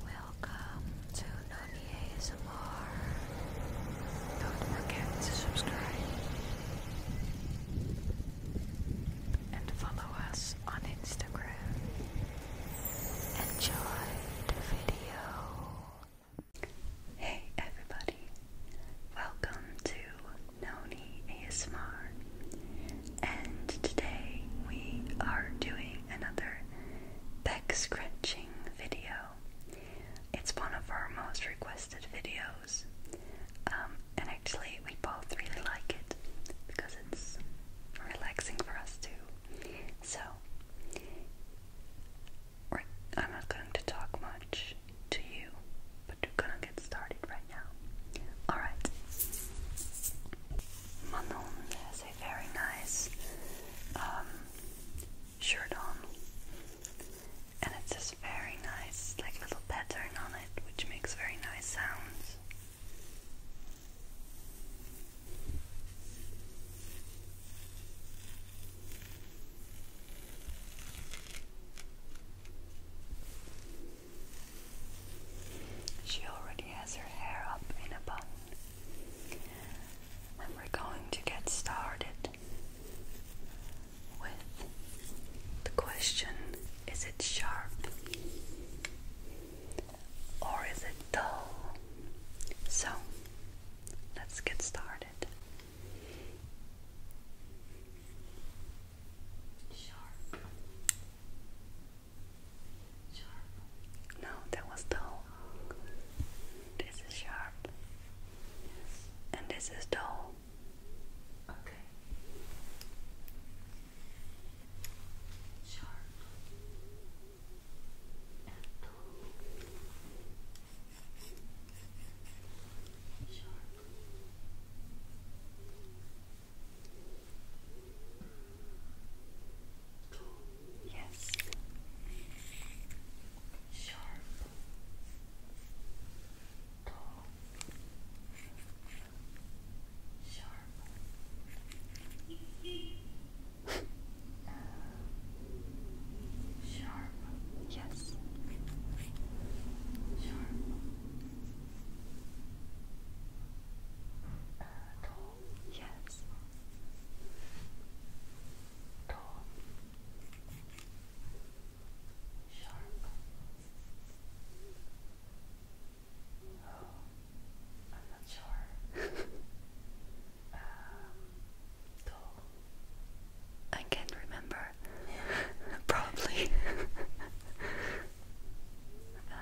Welcome to Nani ASMR. Don't forget to subscribe and follow us on Instagram. Enjoy the video. Hey everybody, welcome to Noni ASMR and today we are doing another back scratching video. It's one of our most requested videos, um, and actually, we both really like it because it's relaxing for us too. So, I'm not going to talk much to you, but we're gonna get started right now. Alright very nice um, shirt on, and it's this very nice, like little pattern on it, which makes very nice sounds. She already has her hair up in a bun we're going to get started with the question is it sharp or is it dull? So let's get started. No, that was dull. This is sharp. Yes. And this is dull. Okay. Sharp. dull. Sharp. Yes. Sharp. Uh, tall. Sharp. Yes. tall. Yes. Tall. Sharp. Oh, I'm not sure. tall. Um, I can't remember. Probably. Um,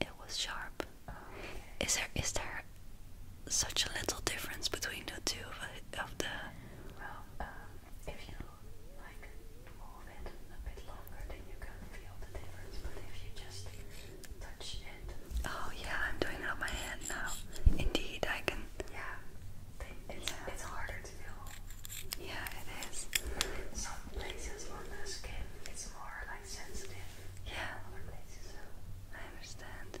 it was. sharp. Is there is there such a little difference between the two of, of the? Um, if you like move it a bit longer, then you can feel the difference. But if you just touch Oh yeah, I'm doing it on my hand now. Indeed, I can. Yeah, it's, harder to do. Yeah, it is. some places on the skin, it's more like sensitive. Yeah, other places. I understand.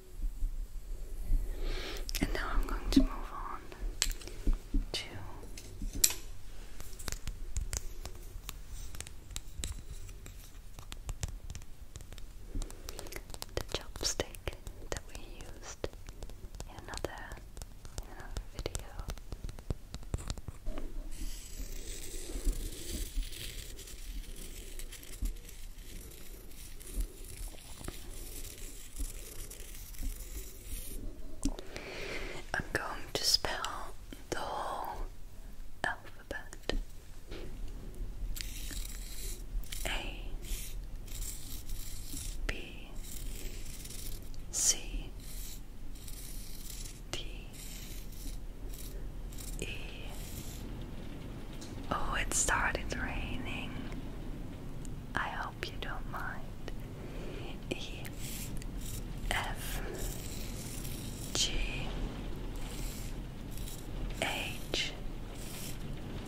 And now I'm going to move on to the chopstick that we used in another, video. I'm going to spell the whole alphabet A, B, C, D, E, Oh, it started raining. I hope you don't mind. E F G H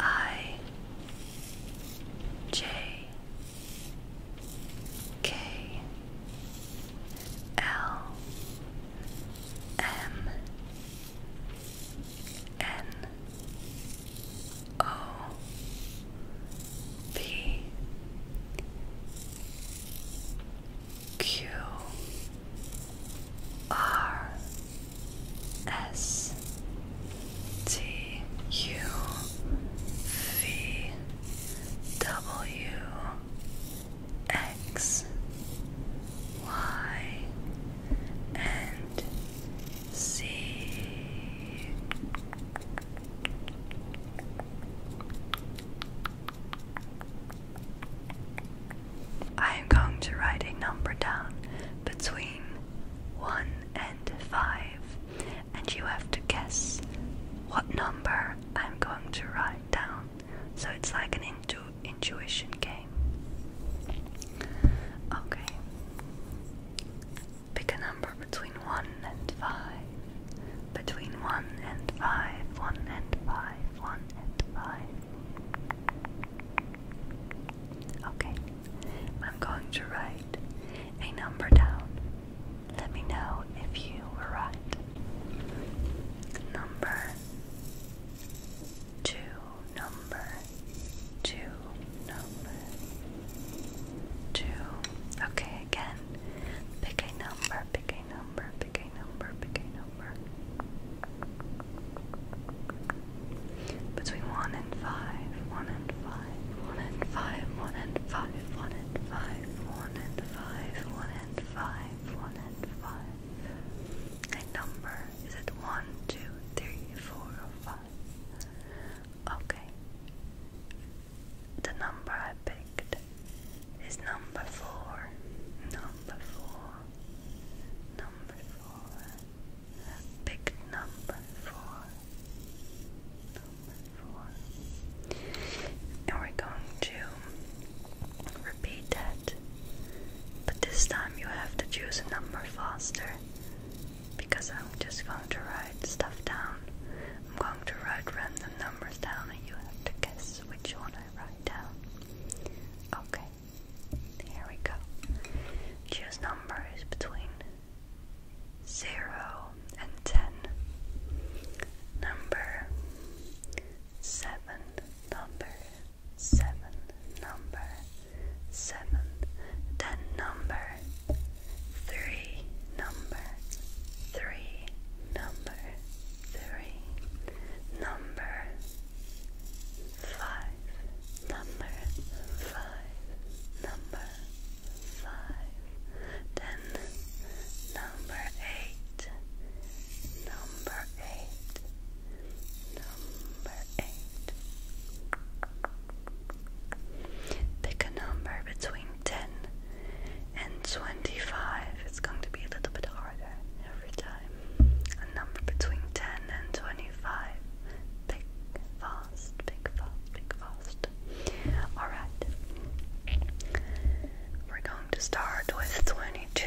I J K L M N O P Q R S T U V W X Y and see. I am going to write a number down between 1 and 5, and you have to guess what number I'm going to write down. So it's like an intu intuition game. Okay. Pick a number between 1 and 5. Between 1 and 5. 1 and 5. 1 and 5. Okay. I'm going to write a number down. Let me know if you were right. Number two number two, number two. Okay, again, pick a number, pick a number, pick a number, pick a number. Between one and five, one and five, one and five, one and five, one and five, one and five, one and five, one and five. A number is it one, two, three, four, Okay. The number I picked is number four. Number four. Number four. Pick number four. Number four. And we're going to repeat that. But this time you have to choose a number faster because I'm just going to write stuff down. I'm going to write random numbers down and you have to guess which one I write down. Okay, here we go. Choose numbers between 0 and 10. Number 7. Number seven, number seven, then number three, number three, number three, number five, number five, number five, then number eight, number eight. Pick a number between 10 and 25. It's going to be a little bit harder every time. A number between 10 and 25. Pick fast, pick fast, pick fast. Alright. We're going to start with 22.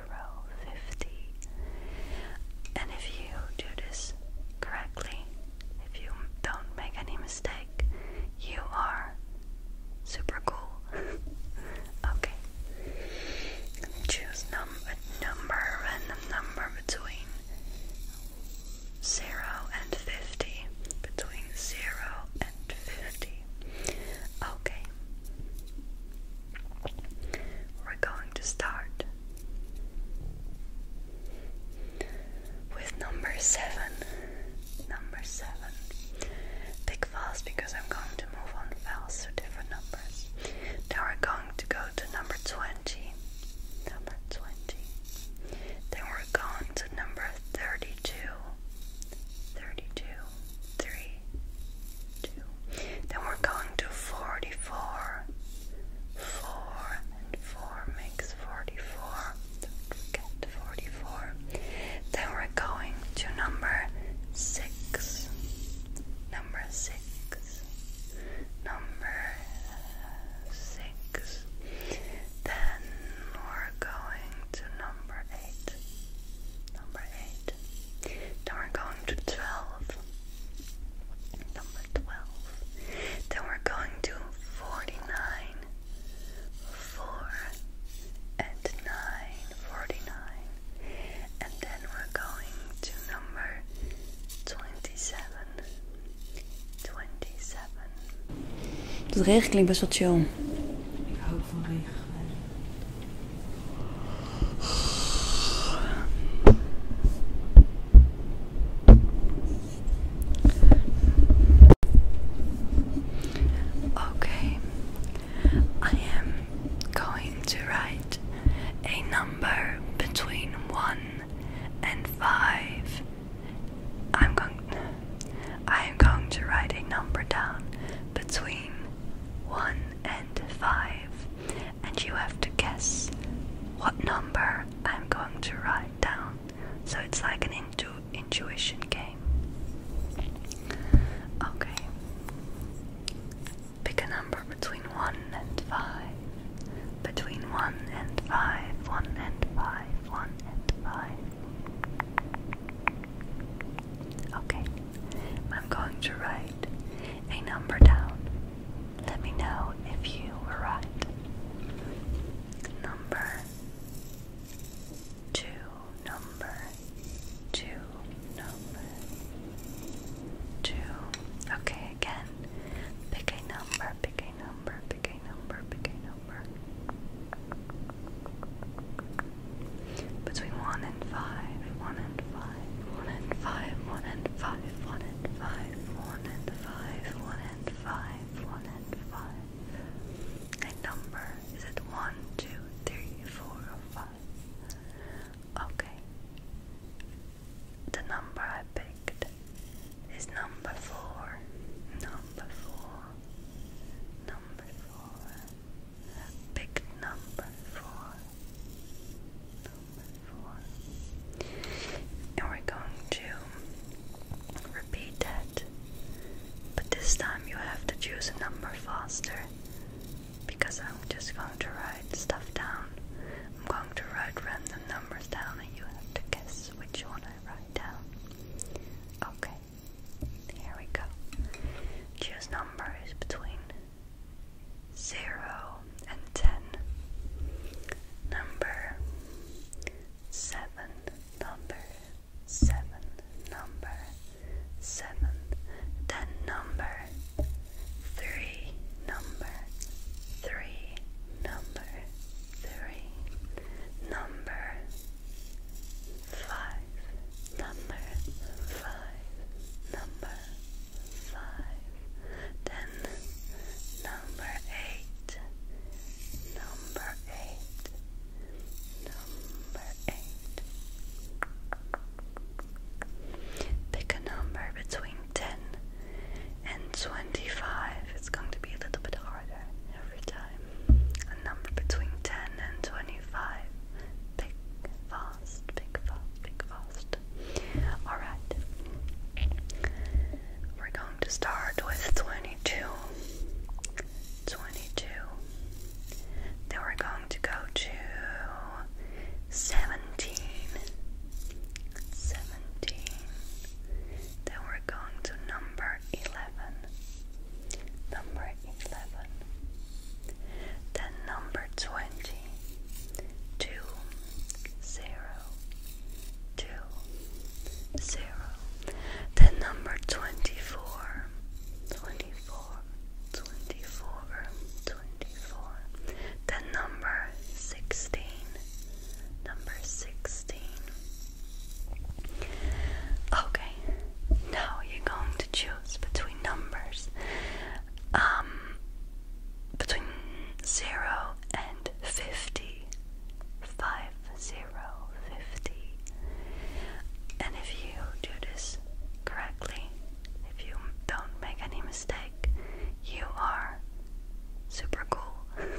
zero fifty. And if you do this correctly, if you don't make any mistake, you are super cool. okay. Choose num a number, a number between zero and fifty. Between zero and fifty. Okay. We're going to start with number seven. Number seven. Pick fast because I'm going to move on fast to different numbers. Now we're going to go to number 20. Number 20. Then we're going to number 32. 32. 3, then we're going to 44. 4 and 4 makes 44. forget 44. Then we're going to number 6. Number 6. Number 6. Then we're going to number 8. Number 8. Then we're going to 12. Number 12. Then we're going to 49. 4 and 9. And then we're going to number 27. 27. Dat regen klinkt best wel Okay, I am going to write a number between one and five. I'm going. I am going to write a number down between one and five and you have to guess what number I'm going to write down. So it's like an intu intuition game. Okay. Pick a number between 1 and 5. Between 1 and 5, 1 and 5, 1 and 5. Okay. I'm going to write a number down. Let me know if you were right. Number two, number two, number two. Okay, again. Pick a number, pick a number, pick a number, pick a number. Between one and five, one and five one and five, one and five, one and five, one and five, one and five, one and five. And number is it one, two, three, four, or five? Okay. The number I picked is number four. Number four. Number four. Big number four. And we're going to repeat that, but this time you have to choose a number faster because I'm just going to write stuff down. I'm going to write random numbers down, and you have to guess which one I write down. Okay, here we go. Choose numbers between zero and ten. Number seven, number seven, number seven, then number three, number three, number three, number five, number five, number five, then number eight, number eight, number eight. Pick a number between ten and twenty-five. It's going to be a little bit harder every time. A number between ten and twenty-five. Pick 5 fast, big fast, big fast. Alright. We're going to start with 22. Then we're going to go to 17. Then we're going to number 11. Number 11. Then number 20 two zero two zero. The number twenty four twenty four twenty four twenty four. The number sixteen number sixteen. Okay, now you're going to choose between numbers um, between 0 and 50. And if you do this correctly, if you don't make any mistake, you are super cool. okay.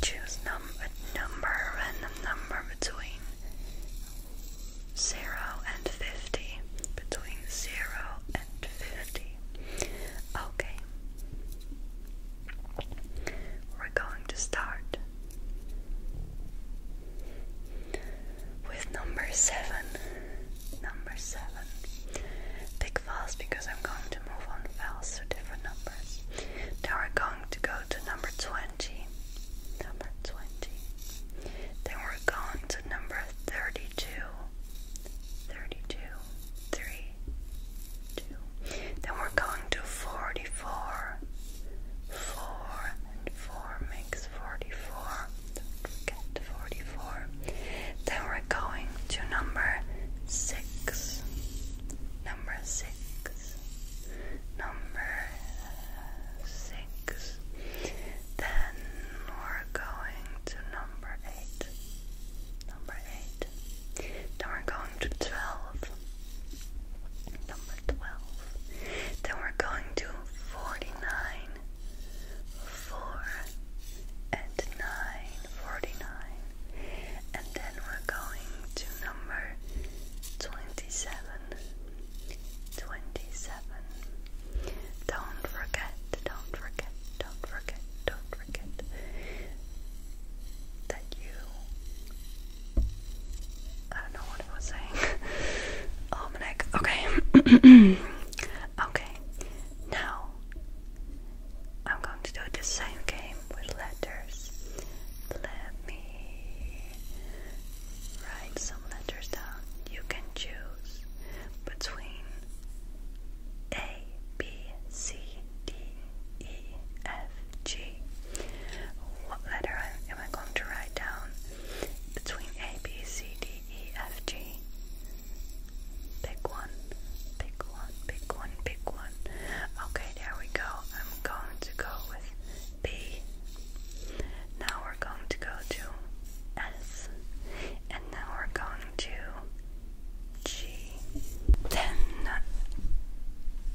Choose num a number, random number between zero and fifty. Between zero and fifty. Okay. We're going to start with number seven. Number seven. Pick fast because I'm going to move on fast to different numbers. Now we're going to go to number 20 number 20. Then we're going to number 32. 32, Then we're going to 44. 4 and 4 makes 44. 44. Then we're going to number 6. Number 6. Number six. Then we're going to number eight. Number eight. Then we're going to twelve. Number twelve. Then we're going to forty-nine. Four and nine. Forty-nine. And then we're going to number twenty-seven. Twenty-seven. Don't forget, don't forget, don't forget, don't forget that you. I don't know what I was saying. Almanac. Okay. okay. Now I'm going to do the same game with letters. Let me write letters down, you can choose between A, B, C, D, E, F, G. What letter am I going to write down between A, B, C, D, E, F, G? Pick one, pick one, pick one, pick one. Okay, there we go. I'm going to go with B, now we're going to go to S, and now we're going to G. Then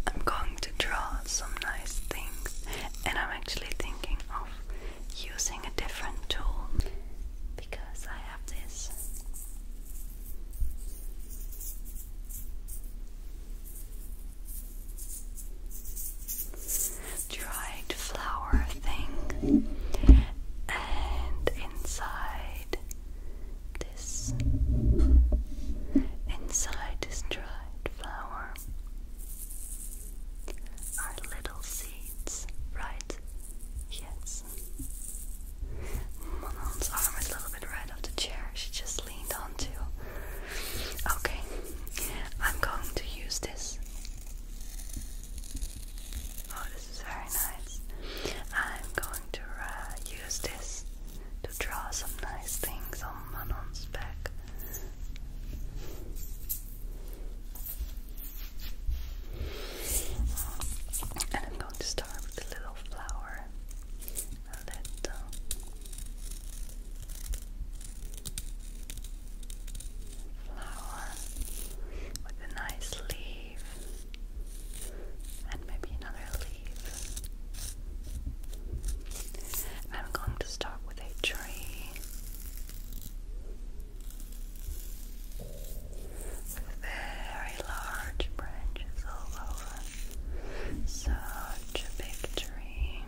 I'm going to draw some nice things, and I'm actually thinking of using a different tool because I have this dried flower thing, and inside this, inside this dried flower are little seeds, right? Yes. Manon's arm is a little bit right off the chair. She just leaned onto Okay, I'm going to use this. Oh, this is very nice. I'm going to uh, use this to draw some nice things on Manon's back. And I'm going to start with a little flower. A little flower with a nice leaf and maybe another leaf. I'm going to start with a tree very large branches all over. Such a big tree.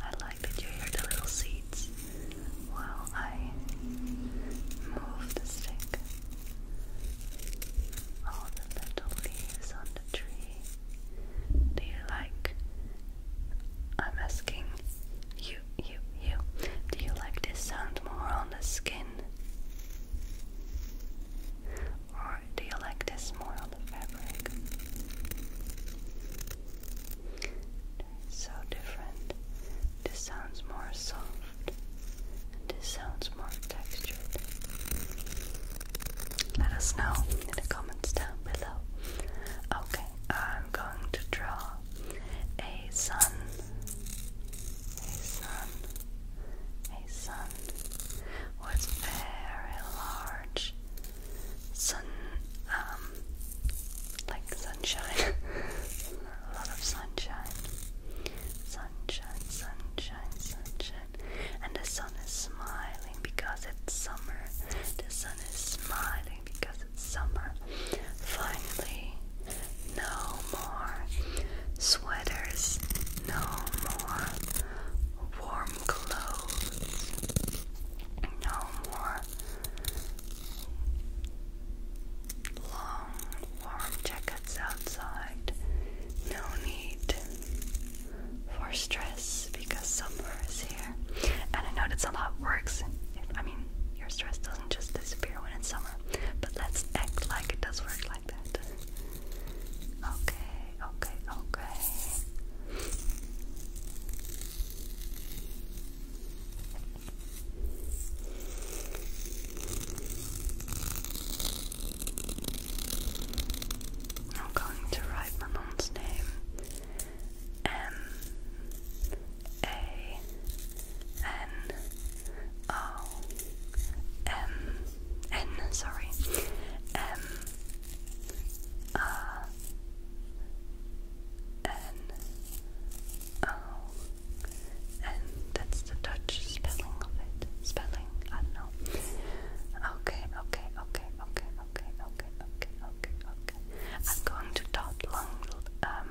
I like that you hear the little seeds while I move the stick. All the little leaves on the tree. Do you like? I'm asking you, you, you. Do you like this sound more on the skin? Or do you like this more on the fabric? So different. This sounds more soft, this sounds more textured. Let us know in the comments down below. Okay, I'm going to draw a sun a sun, a sun was very large. Sun, um, like sunshine, a lot of sunshine, sunshine, sunshine, sunshine, and the sun is smiling because it's summer. The sun is smiling because it's summer. Finally, no more sweaters, no more warm clothes, no more long warm jackets outside, no need for stress because summer is here. And I know that's a lot of works. I mean, your stress doesn't just disappear when it's summer, but let's act like it does work. Like Okay, okay, okay. I'm going to write my mom's name M A N O M N sorry M A N O N that's the Dutch spelling of it. Spelling, I know. okay, okay, okay, okay, okay, okay, okay, okay. I'm going to dot long um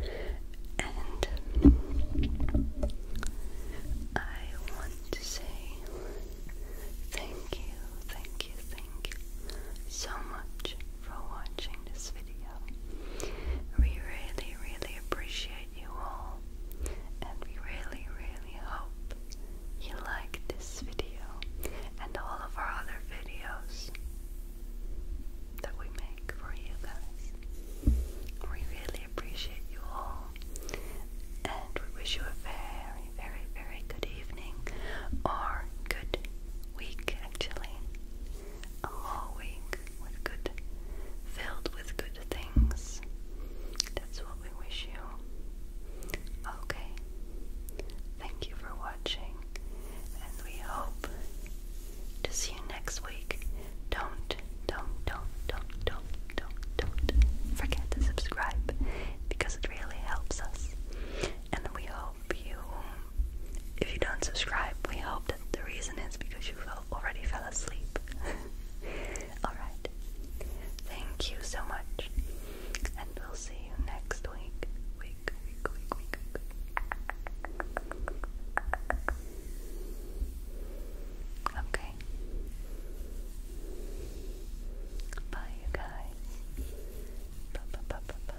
And I want to say thank you, thank you, thank you so much for watching this video. We really, really appreciate you all, and we really, really hope you like this video and all of our other videos that we make for you guys. We really appreciate you all, and we wish you a very, very, very good evening or good week, actually. A whole week with good, filled with good things. That's what we wish you. Okay. Thank you for watching, and we hope to see you next week. Don't, don't, don't, don't, don't, don't, don't forget to subscribe because it really helps us. And we hope you, if you don't subscribe, we hope that the reason is because you already fell asleep. Alright. Thank you so much. And we'll see you next week. Week, week, week, week, Okay. Bye, you guys. Bye, bye, bye, bye, bye.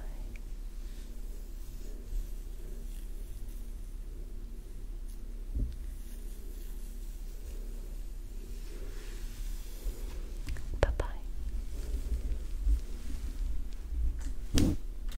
Bye, bye.